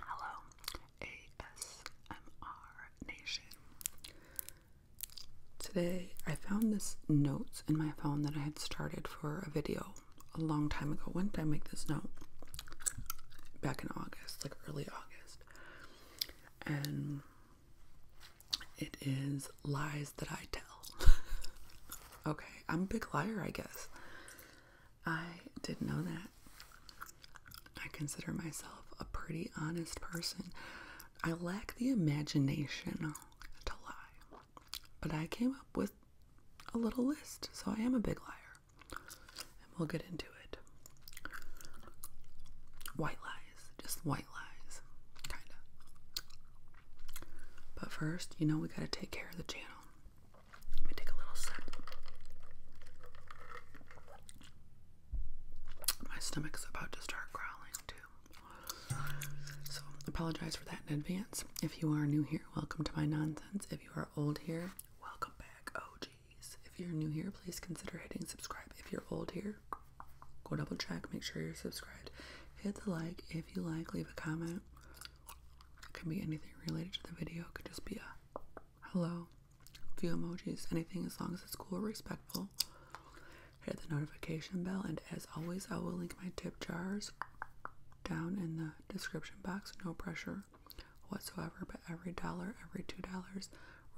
Hello, ASMR Nation. Today I found this notes in my phone that I had started for a video a long time ago. When did I make this note? Back in August, like early August. And it is lies that I tell. okay, I'm a big liar, I guess. I didn't know that. I consider myself a pretty honest person. I lack the imagination to lie, but I came up with a little list, so I am a big liar. And we'll get into it. White lies, just white but first, you know, we gotta take care of the channel. Let me take a little sip. My stomach's about to start growling too. So, apologize for that in advance. If you are new here, welcome to my nonsense. If you are old here, welcome back. Oh, jeez. If you're new here, please consider hitting subscribe. If you're old here, Go double check, make sure you're subscribed. Hit the like if you like, leave a comment. It can be anything related to the video, it could just be a hello, few emojis, anything as long as it's cool, respectful. Hit the notification bell, and as always, I will link my tip jars down in the description box. No pressure whatsoever, but every dollar, every two dollars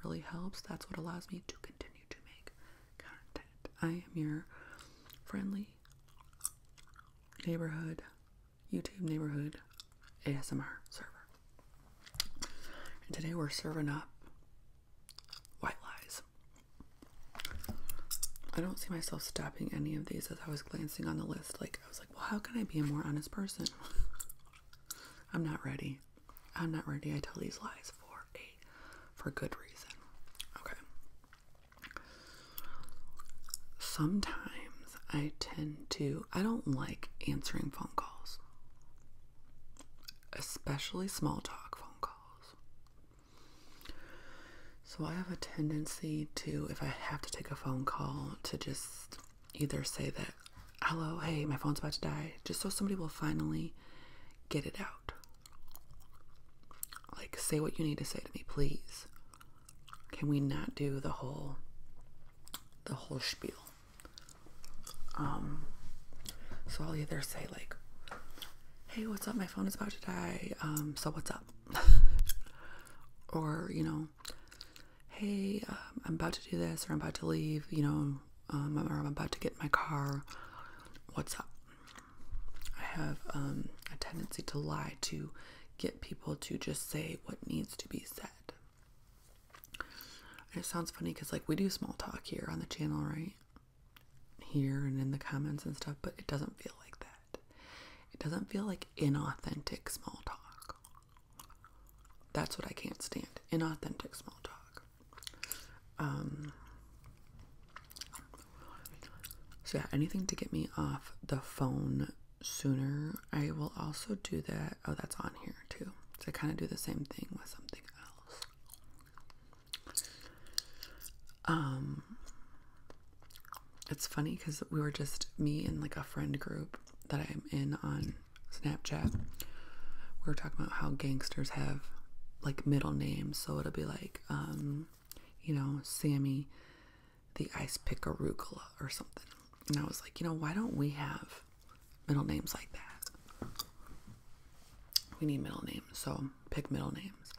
really helps. That's what allows me to continue to make content. I am your friendly neighborhood, YouTube neighborhood ASMR server. And today we're serving up white lies. I don't see myself stopping any of these as I was glancing on the list. Like, I was like, well, how can I be a more honest person? I'm not ready. I'm not ready. I tell these lies for a for good reason. Okay. Sometimes I tend to, I don't like answering phone calls, especially small talk phone calls. So I have a tendency to, if I have to take a phone call, to just either say that, hello, hey, my phone's about to die, just so somebody will finally get it out. Like, say what you need to say to me, please. Can we not do the whole, the whole spiel? Um, so I'll either say like, "Hey, what's up? My phone is about to die. Um, so what's up?" or you know, "Hey, um, I'm about to do this, or I'm about to leave. You know, um, or I'm about to get my car. What's up?" I have um, a tendency to lie to get people to just say what needs to be said. it sounds funny because, like, we do small talk here on the channel, right? Here and in the comments and stuff, but it doesn't feel like that. It doesn't feel like inauthentic small talk. That's what I can't stand inauthentic small talk. Um, so yeah, anything to get me off the phone sooner. I will also do that. Oh, that's on here too. So I kind of do the same thing with something else. Um, it's funny because we were just me and like a friend group that I'm in on Snapchat. We were talking about how gangsters have like middle name, so it'll be like um, you know, Sammy the ice pick arugula or something. And I was like, you know, why don't we have middle names like that? We need middle names, so pick middle names.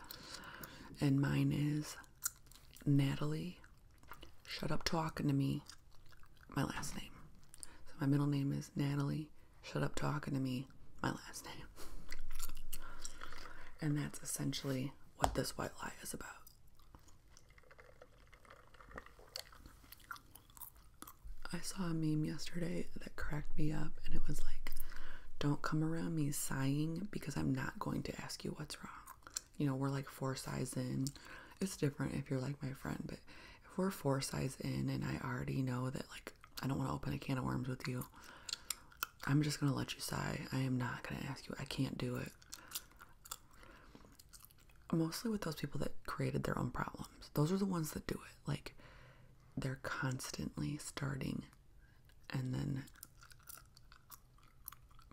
And mine is Natalie. Shut up talking to me. My last name. So my middle name is Natalie shut up talking to me my last name. And that's essentially what this white lie is about. I saw a meme yesterday that cracked me up, and it was like, Don't come around me sighing because I'm not going to ask you what's wrong. You know, we're like four size in. It's different if you're like my friend, but if we're four size in and I already know that like I don't want to open a can of worms with you. I'm just going to let you sigh. I am not going to ask you. I can't do it. Mostly with those people that created their own problems. Those are the ones that do it. Like, they're constantly starting and then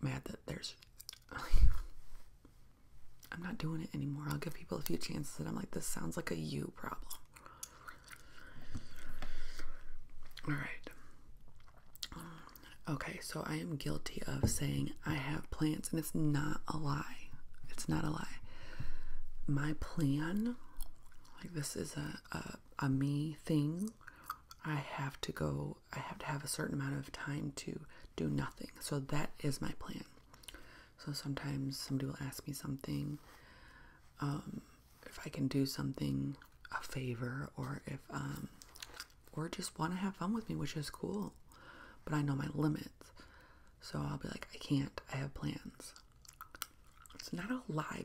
mad that there's. I'm not doing it anymore. I'll give people a few chances, and I'm like, this sounds like a you problem. All right. Okay, so I am guilty of saying I have plans, and it's not a lie. It's not a lie. My plan, like this is a, a, me thing. I have to go, I have to have a certain amount of time to do nothing. So that is my plan. So sometimes somebody will ask me something, um, if I can do something, a favor, or if, um, or just want to have fun with me, which is cool. But I know my limits. So I'll be like, I can't, I have plans. It's not a lie.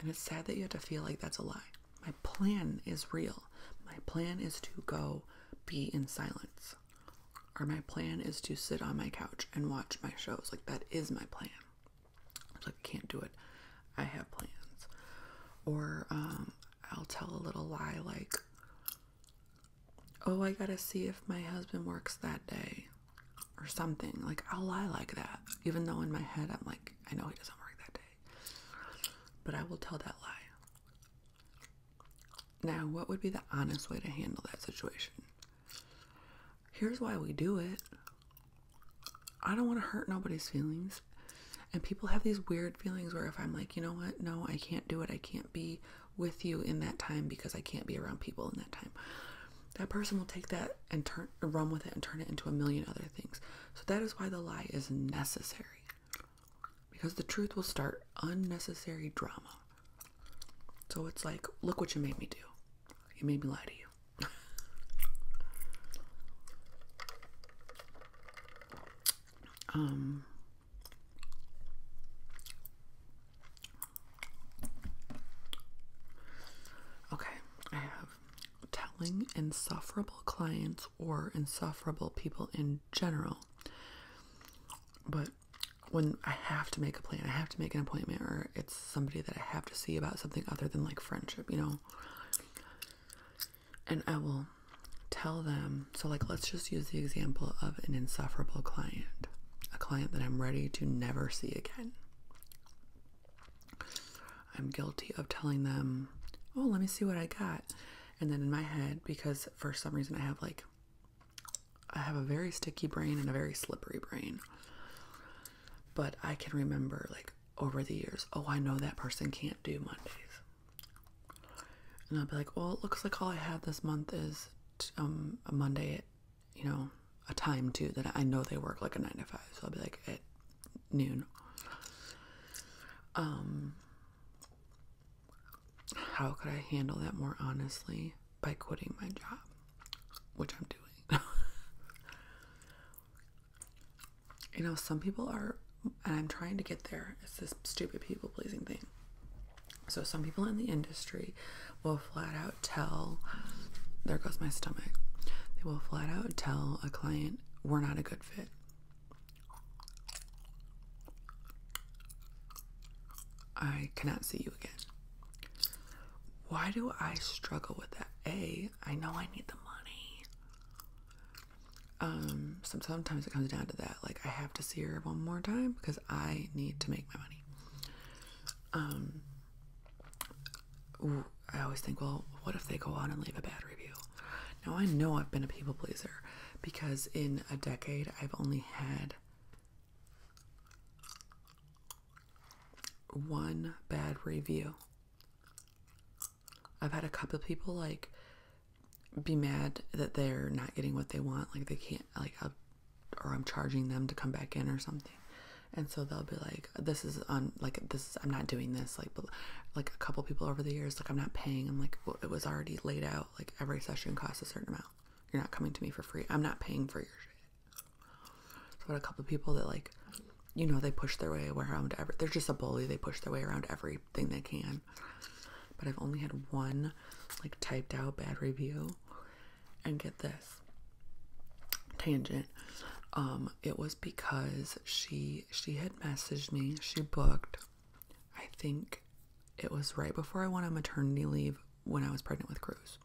And it's sad that you have to feel like that's a lie. My plan is real. My plan is to go be in silence. Or my plan is to sit on my couch and watch my shows. Like that is my plan. like I can't do it. I have plans. Or um, I'll tell a little lie like oh I gotta see if my husband works that day or something. Like I'll lie like that. Even though in my head I'm like, I know he doesn't work that day. But I will tell that lie. Now, what would be the honest way to handle that situation? Here's why we do it. I don't want to hurt nobody's feelings. And people have these weird feelings where if I'm like, you know what, no, I can't do it. I can't be with you in that time because I can't be around people in that time. That person will take that and turn run with it and turn it into a million other things. So that is why the lie is necessary because the truth will start unnecessary drama. So it's like, look what you made me do. You made me lie to you. um Okay, I have telling insufferable clients or insufferable people in general. But when I have to make a plan, I have to make an appointment, or it's somebody that I have to see about something other than like friendship, you know. And I will tell them, so like, let's just use the example of an insufferable client, a client that I'm ready to never see again. I'm guilty of telling them, oh, let me see what I got. And then in my head, because for some reason I have like I have a very sticky brain and a very slippery brain. But I can remember, like, over the years, oh, I know that person can't do Mondays. And I'll be like, well, it looks like all I have this month is um, a Monday at, you know, a time too that I know they work like a nine to five. So I'll be like at noon. Um, how could I handle that more honestly by quitting my job, which I'm doing. you know, some people are, and I'm trying to get there. It's this stupid people pleasing thing. So some people in the industry will flat out tell, there goes my stomach. They will flat out tell a client, we're not a good fit. I cannot see you again. Why do I struggle with that? A, I know I need the money. Um, so sometimes it comes down to that. Like I have to see her one more time because I need to make my money. Um, I always think, well, what if they go on and leave a bad review? Now I know I've been a people pleaser because in a decade I've only had one bad review. I've had a couple people like be mad that they're not getting what they want, like they can't like or I'm charging them to come back in or something. And so they'll be like, "This is on like this. I'm not doing this." Like, like a couple people over the years, like I'm not paying. I'm like, it was already laid out like every session costs a certain amount. You're not coming to me for free. I'm not paying for your shit. So a couple people that like, you know, they push their way around every. They're just a bully. They push their way around everything they can. But I've only had one like typed out bad review, and get this tangent. Um, it was because she she had messaged me. She booked I think it was right before I went on maternity leave when I was pregnant with Cruz.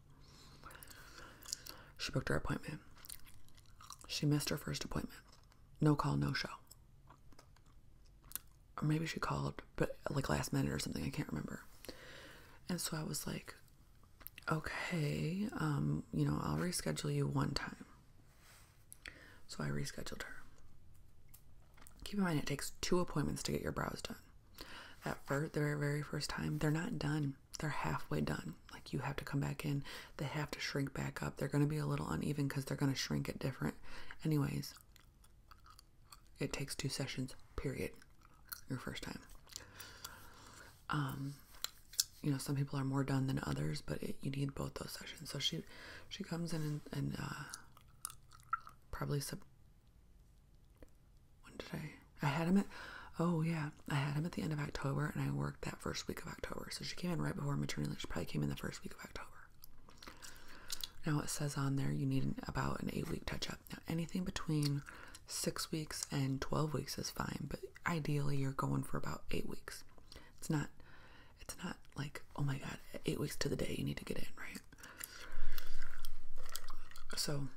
She booked her appointment. She missed her first appointment. No call, no show. Or maybe she called, but like last minute or something, I can't remember. And so I was like, okay, um, you know, I'll reschedule you one time. So I rescheduled her. Keep in mind, it takes two appointments to get your brows done. At first, the very first time, they're not done. They're halfway done. Like you have to come back in. They have to shrink back up. They're going to be a little uneven because they're going to shrink at different. Anyways, it takes two sessions. Period. Your first time. Um, you know, some people are more done than others, but you need both those sessions. So she, she comes in and, uh, Probably sub. When did I? I had him at. Oh yeah, I had him at the end of October, and I worked that first week of October. So she came in right before maternity leave. She probably came in the first week of October. Now it says on there you need about an eight week touch up. Now anything between six weeks and 12 weeks is fine, but ideally you're going for about eight weeks. It's not it's not like, oh my god, eight weeks to the day you need to get in, right? So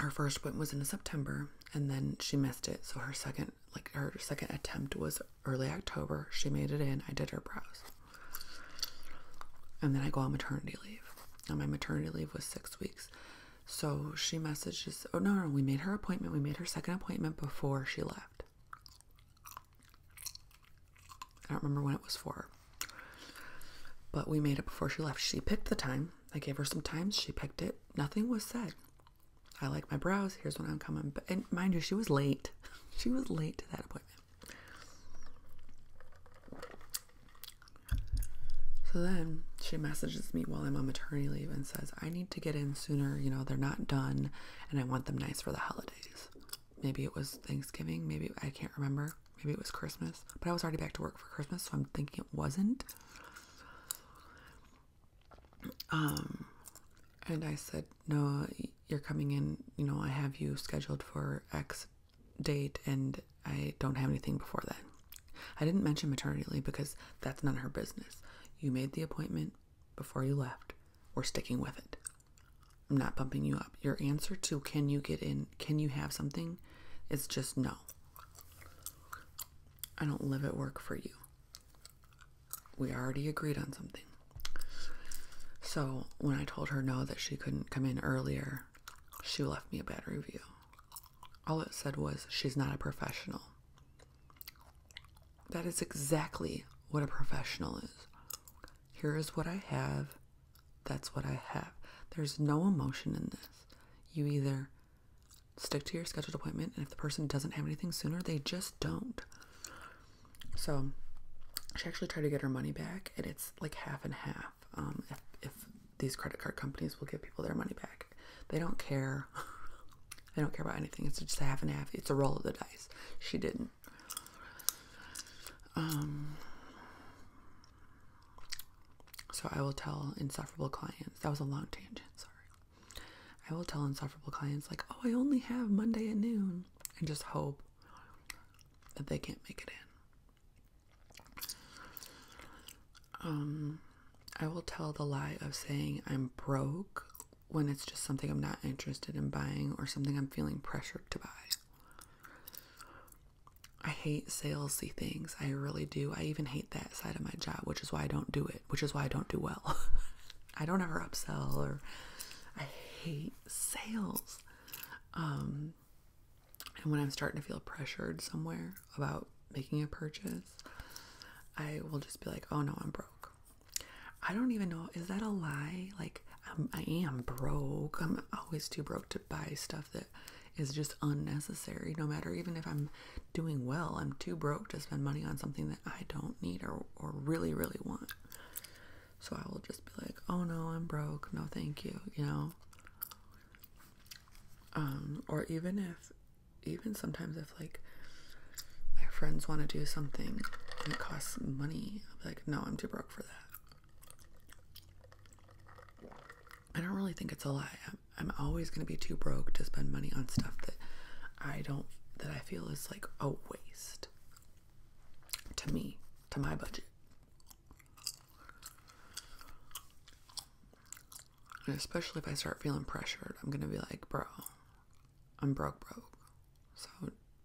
her first one was in September and then she missed it. So her second like her second attempt was early October. She made it in. I did her brows. And then I go on maternity leave. And my maternity leave was six weeks. So she messages, oh no, no, we made her appointment. We made her second appointment before she left. I don't remember when it was for. But we made it before she left. She picked the time. I gave her some times. She picked it. Nothing was said. I like my brows. Here's when I'm coming. But, mind you, she was late. She was late to that appointment. So then she messages me while I'm on maternity leave and says, I need to get in sooner. You know, they're not done and I want them nice for the holiday. Maybe it was Thanksgiving, maybe I can't remember. Maybe it was Christmas, but I was already back to work for Christmas, so I'm thinking it wasn't. Um, and I said, No, you're coming in, you know, I have you scheduled for X date, and I don't have anything before then. I didn't mention maternity leave because that's none of her business. You made the appointment, before you left, we're sticking with it. I'm not bumping you up. Your answer to can you get in, can you have something, is just no. I don't live at work for you. We already agreed on something. So when I told her no that she couldn't come in earlier, she left me a bad review. All it said was, she's not a professional. That is exactly what a professional is. Here is what I have. That's what I have. There's no emotion in this. You either stick to your scheduled appointment, and if the person doesn't have anything sooner, they just don't. So she actually tried to get her money back, and it's like half and half. Um, if these credit card companies will give people their money back, they don't care. I don't care about anything. It's just a half and half. It's a roll of the dice. She didn't. Um, so I will tell insufferable clients. That was a long tangent. Sorry. I will tell insufferable clients like, "Oh, I only have Monday at noon," and just hope that they can't make it in. Um, I will tell the lie of saying I'm broke when it's just something I'm not interested in buying or something I'm feeling pressured to buy. I hate salesy things. I really do. I even hate that side of my job, which is why I don't do it, which is why I don't do well. I don't ever upsell or I hate sales. Um, and when I'm starting to feel pressured somewhere about making a purchase, I will just be like, oh no, I'm broke. I don't even know. Is that a lie? Like, I'm, broke. I'm always too broke to buy stuff that is just unnecessary. No matter, even if I'm doing well, I'm too broke to spend money on something that I don't need or, or really, really want. So I will just be like, oh no, I'm broke. No, thank you. You know? Um, or even if even sometimes if like my friends want to do something and it costs money, i am like, no, I'm too broke for that. I don't really think it's a lie. I'm, I'm always going to be too broke to spend money on stuff that I don't, that I feel is like a waste to me, to my budget. And especially if I start feeling pressured, I'm going to be like, bro, I'm broke, broke. So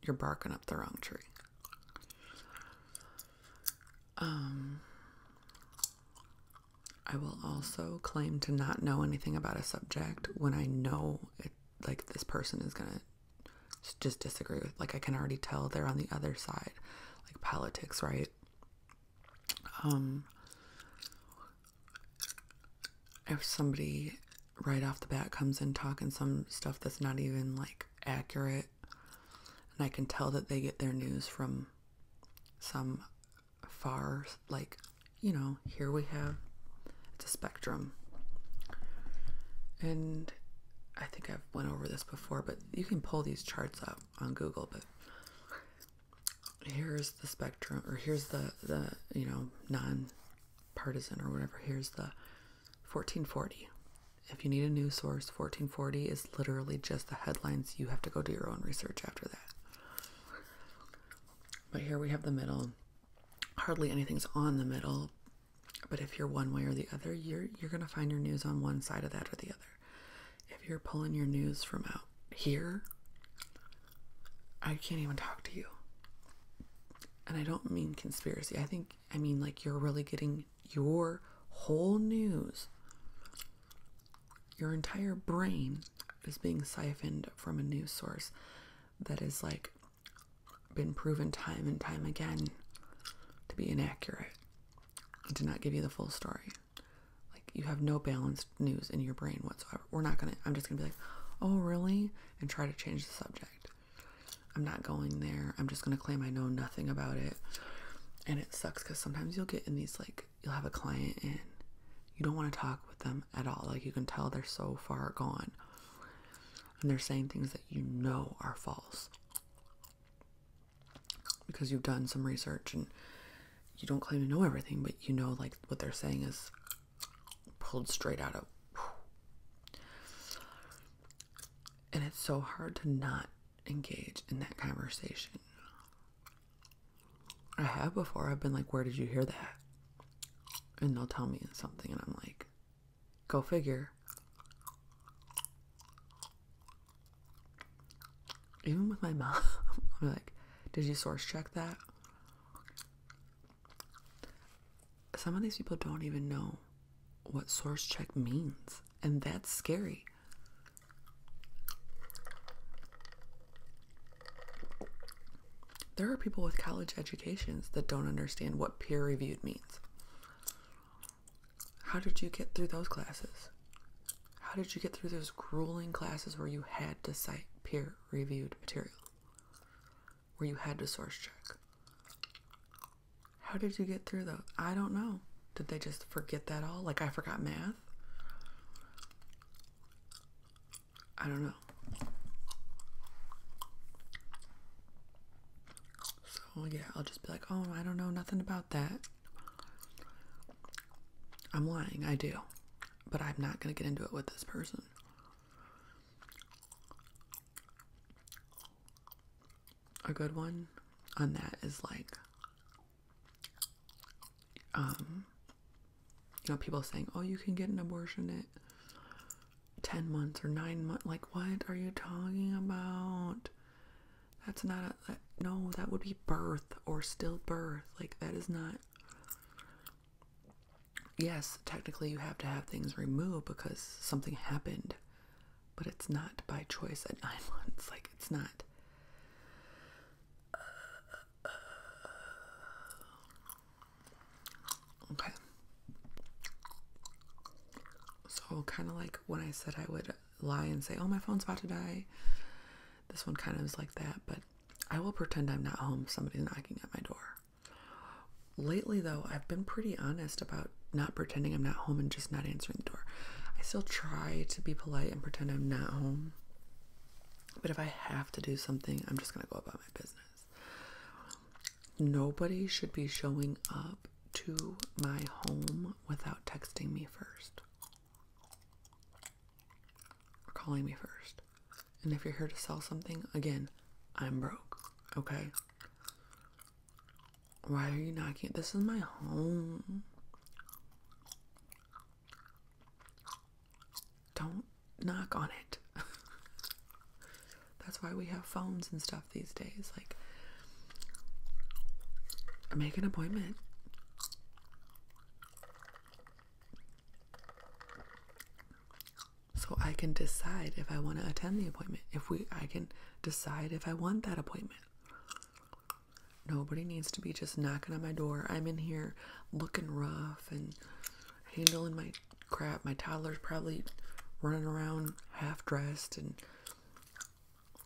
you're barking up the wrong tree. Um, I will also claim to not know anything about a subject when I know it, like this person is gonna just disagree with. Like I can already tell they're on the other side, like politics, right? Um, if somebody right off the bat comes in talking some stuff that's not even like accurate and I can tell that they get their news from some far like you know here we have it's a spectrum and I think I've went over this before but you can pull these charts up on Google but here's the spectrum or here's the the you know non-partisan or whatever here's the 1440 if you need a news source 1440 is literally just the headlines you have to go do your own research after that but here we have the middle hardly anything's on the middle but if you're one way or the other you're you're going to find your news on one side of that or the other if you're pulling your news from out here I can't even talk to you. And I don't mean conspiracy. I think I mean like you're really getting your whole news. Your entire brain is being siphoned from a news source that is like been proven time and time again to be inaccurate and to not give you the full story like you have no balanced news in your brain whatsoever. We're not gonna I'm just gonna be like, oh really? And try to change the subject. I'm not going there. I'm just gonna claim I know nothing about it. And it sucks because sometimes you'll get in these like you'll have a client and you don't want to talk with them at all. Like you can tell they're so far gone. And they're saying things that you know are false. Because you've done some research and you don't claim to know everything, but you know, like, what they're saying is pulled straight out of. And it's so hard to not engage in that conversation. I have before. I've been like, where did you hear that? And they'll tell me something, and I'm like, go figure even with my mom, I'm like, did you source check that? Some of these people don't even know what source check means, and that's scary. There are people with college educations that don't understand what peer reviewed means. How did you get through those classes? How did you get through those grueling classes where you had to cite peer reviewed material? Where you had to source check? How did you get through those? I don't know. Did they just forget that all? Like I forgot math? I don't know. So yeah, I'll just be like, oh, I don't know nothing about that. I'm lying, I do. But I'm not going to get into it with this person. A good one on that is like, um, you know, people saying, oh, you can get an abortion at 10 months or 9 months. Like, what are you talking about? That's not a no that would be birth or still birth. like that is not yes technically you have to have things removed because something happened but it's not by choice at nine months like it's not okay so kind of like when i said i would lie and say oh my phone's about to die this one kind of is like that, but I will pretend I'm not home if somebody's knocking at my door. Lately, though, I've been pretty honest about not pretending I'm not home and just not answering the door. I still try to be polite and pretend I'm not home, but if I have to do something, I'm just going to go about my business. Nobody should be showing up to my home without texting me first or calling me first. And if you're here to sell something, again, I'm broke, okay? Why are you knocking? This is my home. Don't knock on it. That's why we have phones and stuff these days. Like, make an appointment. So I can decide if I want to attend the appointment. If we I can decide if I want that appointment. Nobody needs to be just knocking on my door. I'm in here looking rough and handling my crap. My toddler's probably running around half dressed and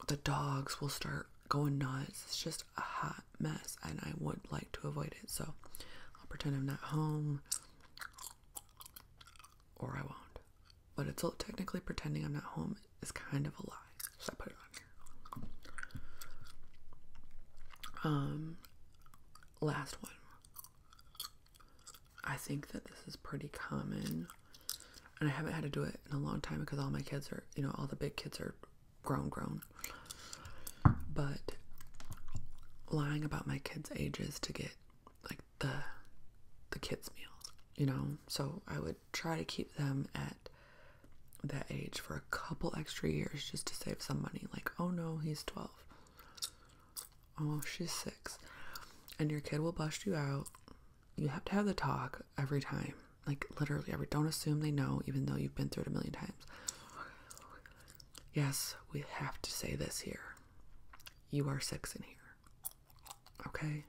the dogs will start going nuts. It's just a hot mess, and I would like to avoid it. So I'll pretend I'm not home, or I won't. But it's all technically pretending I'm not home is kind of a lie. So I put it on here. Um, last one. I think that this is pretty common and I haven't had to do it in a long time because all my kids are, you know, all the big kids are grown, grown. But lying about my kids' ages to get like the the kids' meals, you know. So I would try to keep them at that age for a couple extra years just to save some money. Like, oh no, he's twelve. Oh, she's six. And your kid will bust you out you have to have the talk every time. Like literally every don't assume they know even though you've been through it a million times. Yes, we have to say this here. You are six in here. Okay?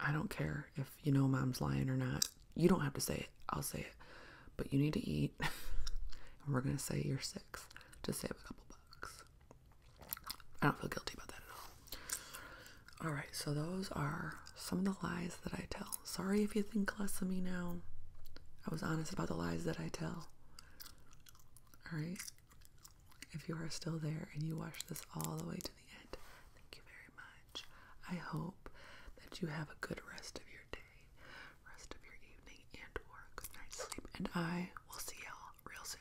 I don't care if you know mom's lying or not. You don't have to say it. I'll say it. But you need to eat. and we're going to say you're six to save a couple bucks. I don't feel guilty about that at all. Alright, so those are some of the lies that I tell. Sorry if you think less of me now. I was honest about the lies that I tell. Alright? If you are still there and you watched this all the way to the end, thank you very much. I hope that you have a good rest of your day, rest of your evening, and or good night sleep. And I will see y'all real soon.